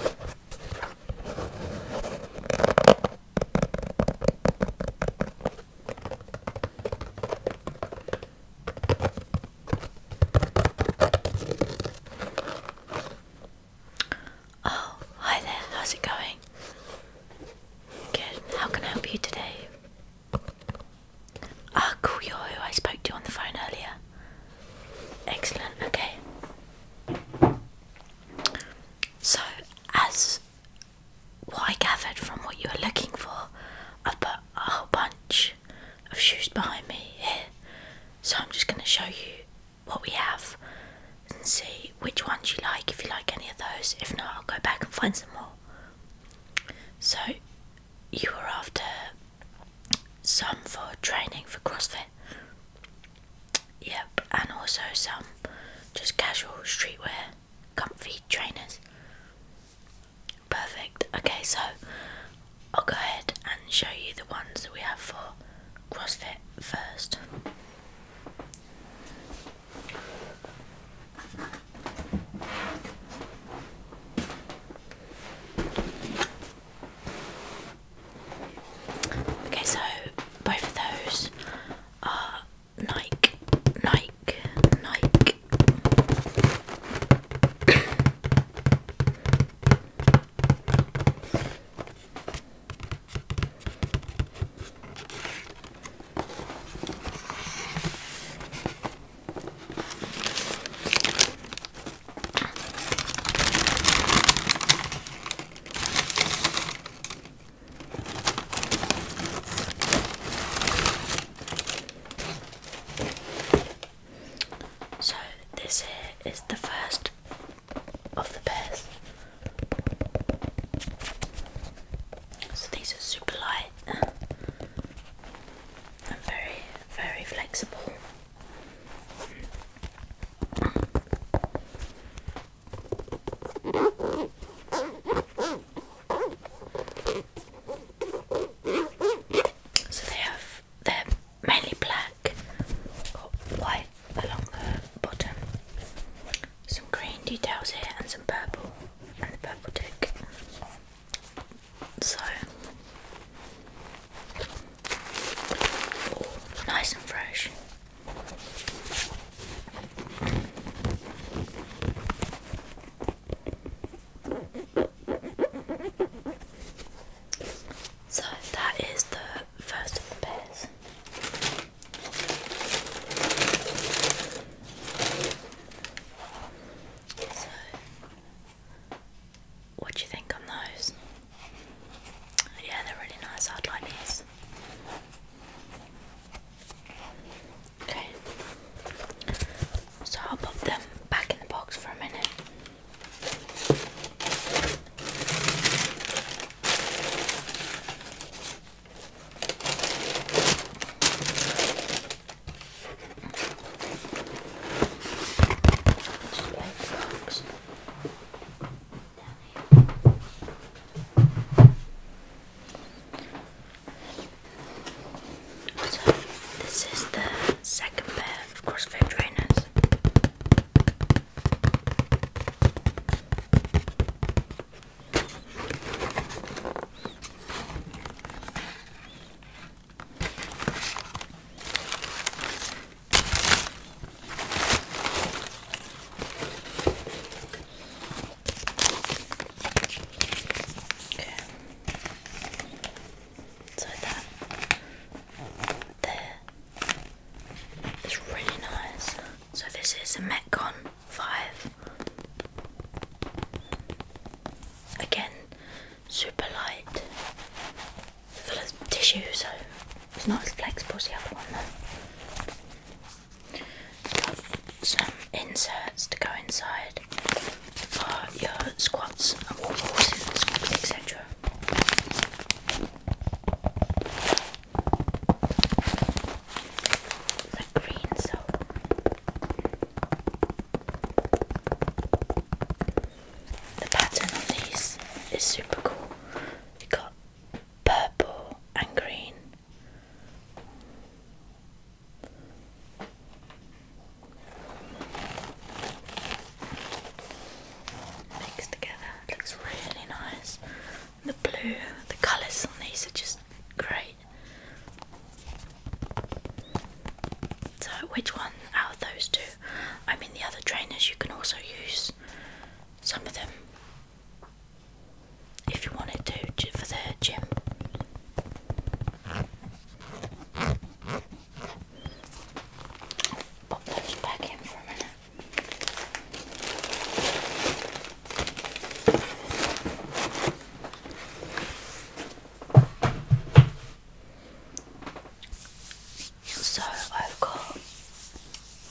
Oh, hi there, how's it going? Good, how can I help you today? Ah, cool, you who I spoke to on the phone earlier. Excellent, okay. So, as I gathered from what you were looking for, I've put a whole bunch of shoes behind me here. So, I'm just going to show you what we have and see which ones you like, if you like any of those. If not, I'll go back and find some more. So, you were after some for training for CrossFit. Yep, and also some just casual streetwear, comfy trainers. Perfect. Okay, so I'll go ahead and show you the ones that we have for CrossFit first. Okay, so both of those are Nike, Nike, Nike. So, this here is the first of the pairs. So, these are super light and very, very flexible. So they have they're mainly black white along the bottom. Some green details here and some purple and the purple tick. So nice and fresh. So that is the first of the pairs. So what do you think on those? Yeah, they're really nice. I'd like these. Okay, so I'll pop them back in the box for a minute. So this is the second pair of CrossFit trainers. Okay. So that um, really nice. So this is a Metcon 5. Again, super light full of tissue, so it's not as flexible as the other one though. some inserts to go inside for your squats and wall balls, etc. green soap. The pattern on these is super cool. You got purple and green. Mixed together, it looks really nice. The blue, the colours on these are just great. So, which one out of those two? I mean, the other trainers you can also use some of them if you want to for the gym. Pop those back in for a minute. So I've got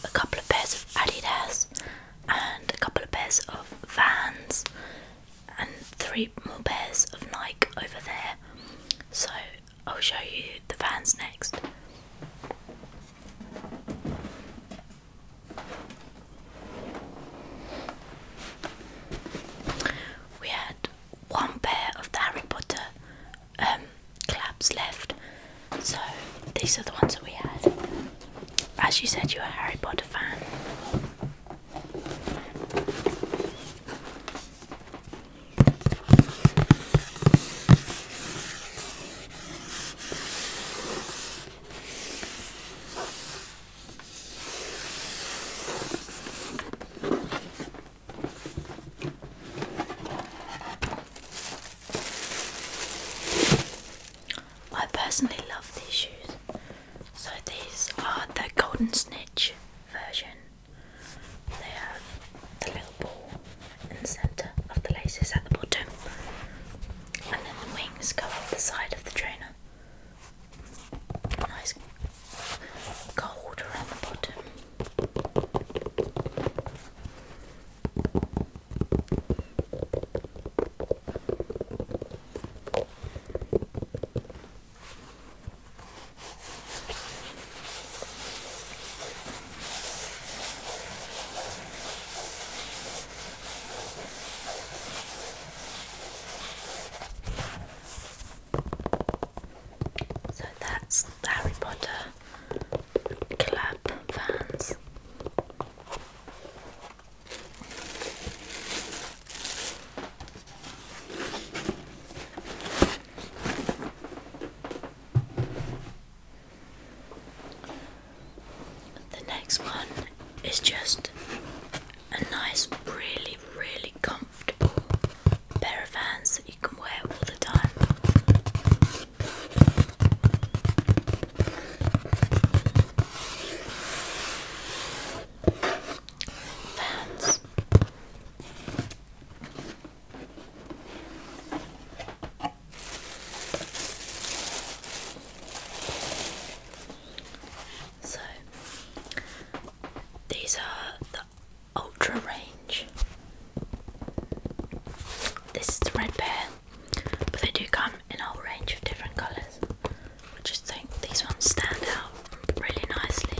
a couple of pairs of Adidas and a couple of pairs of Vans and three more pairs of Nike over there. So I'll show you the Vans next. We had one pair of the Harry Potter um, clubs left. So these are the ones that we had. As you said, you're a Harry Potter fan. I personally love these shoes. So these are the Golden Snitch version. They have the little ball in the centre of the laces at the bottom, and then the wings go up the side of the trainer. Nice gold around the bottom. So that's Harry Potter club fans. The next one is just a nice, really, really comfortable comfortable pair of hands that you can wear all the time. Fans. So these are the Ultra range. This is the red pair, but they do come in a whole range of different colours. I just think these ones stand out really nicely.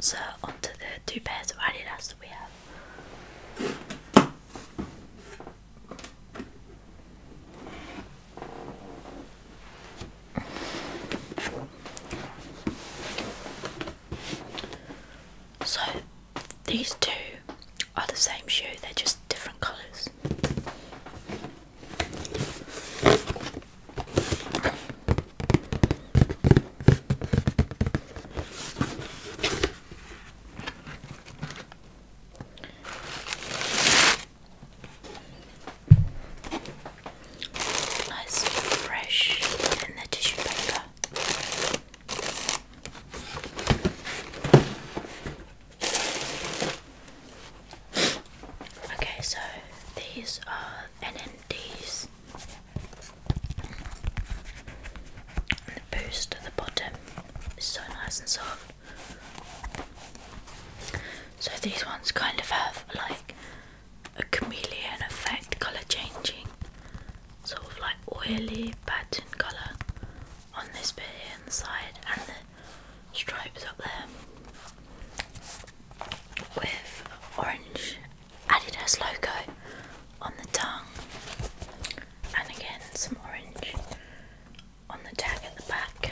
So onto the two pairs of Adidas that we have. So these two are the same shoe, they're just different colours. Nice and fresh in the tissue paper. Okay, so these are NMDs. And the boost at the bottom is so nice and soft. So these ones kind of have like a chameleon effect, colour changing, sort of like oily pattern colour on this bit here inside and the stripes up there with orange Adidas logo on the tongue and again some orange on the tag at the back.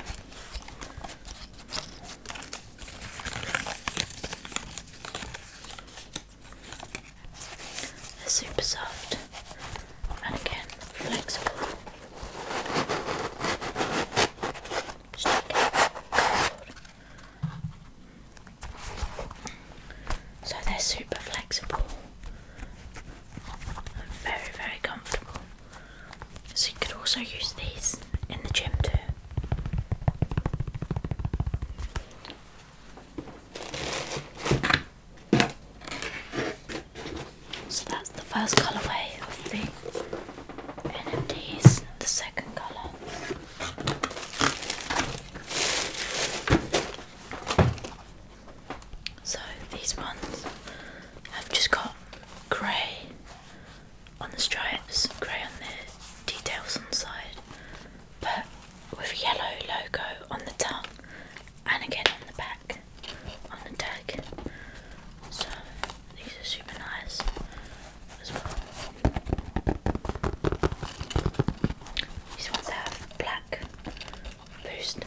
They're super soft and again flexible. So they're super flexible and very, very comfortable. So you could also use these in the gym too. So that's the first colourway of the and it is the second color. So these ones have just got grey on the stripes, grey on the details on the side, but with a yellow logo on the tongue and again on the back on the tag. So these are super nice These ones have black boost.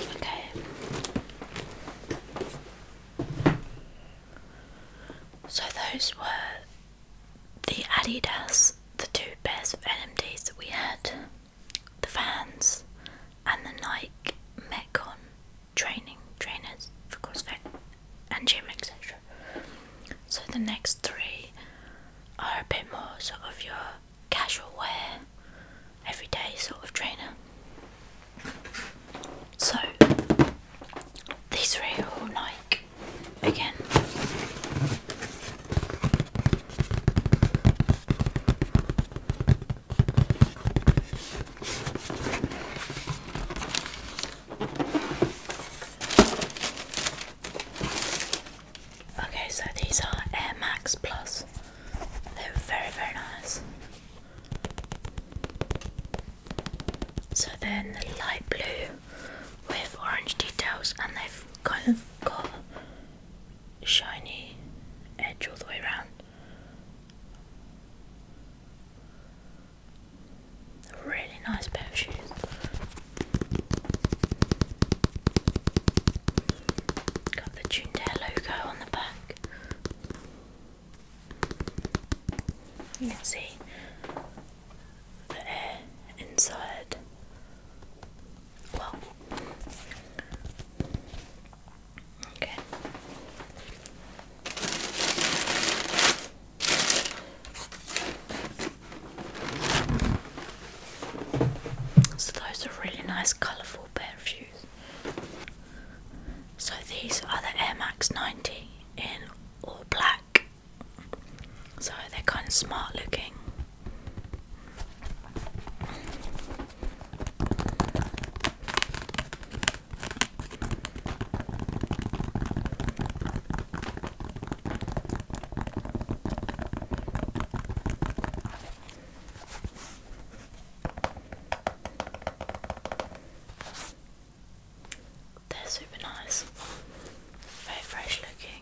Okay. So those were the Adidas, the two pairs of NMDs that we had, the Vans and the Nike Metcon training, trainers for CrossFit and gym, etc. So the next three are a bit more sort of your casual wear, everyday sort of trainer. So these three are all Nike again. Okay, so these are Air Max Plus. They're very, very nice. So they then the light blue with orange details, and they've kind of got shiny edge all the way around. Really nice pair of shoes. Got the Tunedale logo on the back. You can see the air inside. Well, so those are really nice colourful pair of shoes. So these are the Air Max 90 in all black. So they're kind of smart looking. They're super nice, very fresh looking.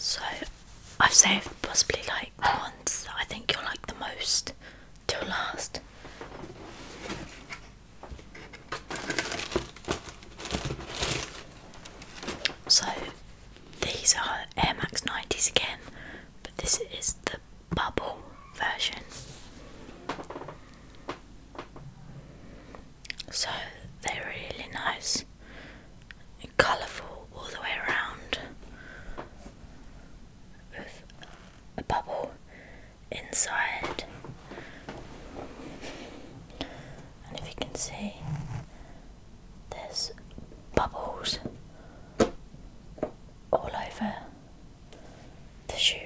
So I've saved possibly like the ones I think you are like the most to last. So these are Air Max 90s again, but this is the bubble version. So they're really nice and colourful all the way around with a bubble inside. And if you can see, there's bubbles all over the shoe.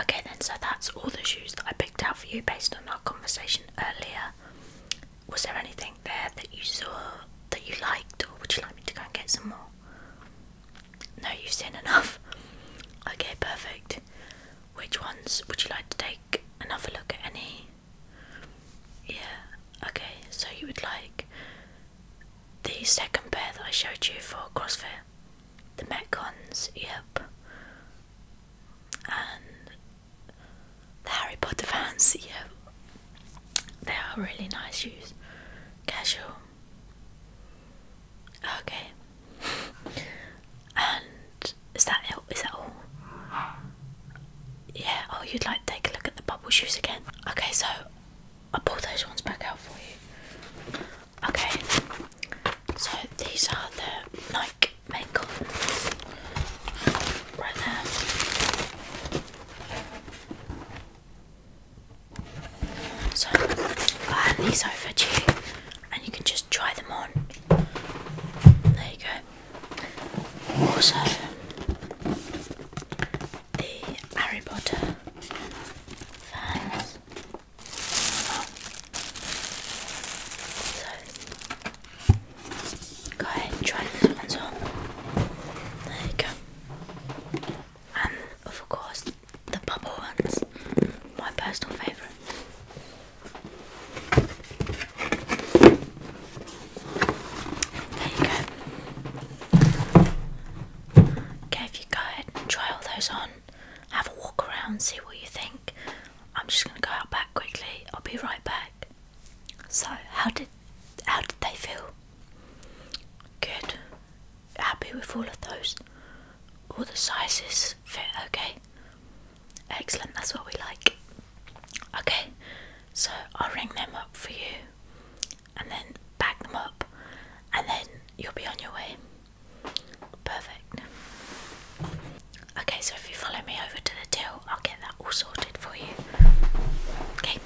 Okay, then, so that's all the shoes that I picked out for you based on our conversation earlier. Was there anything there that you saw that you liked, or would you like me to go and get some more? No, you've seen enough. Okay, perfect. Which ones would you like to take another look at? Any? Yeah, okay, so you would like the second pair that I showed you for CrossFit, the Metcons, yep, and the Harry Potter fans, yep. They are really nice shoes, casual, Okay. and is that it? Is that all? Yeah. Oh, you'd like to take a look at the bubble shoes again? Okay, so I'll pull those ones back out for you. Okay. So these are the Nike main right there. So i have these over here, and you can just try them on. There you go. Also, the Harry Potter fans. So, go ahead and try this one on. There you go and of course the bubble ones, my personal favourite. There you go. Okay, if you go ahead and try all those on, have a walk around, see what you think. I'm just gonna go out back quickly. I'll be right back. So, how did how did they feel? Good happy with all of those. All the sizes fit okay. Excellent, that's what we like. Okay, so I'll ring them up for you and then bag them up and then you'll be on your way. Perfect. Okay, so if you follow me over to the till, I'll get that all sorted for you. Okay.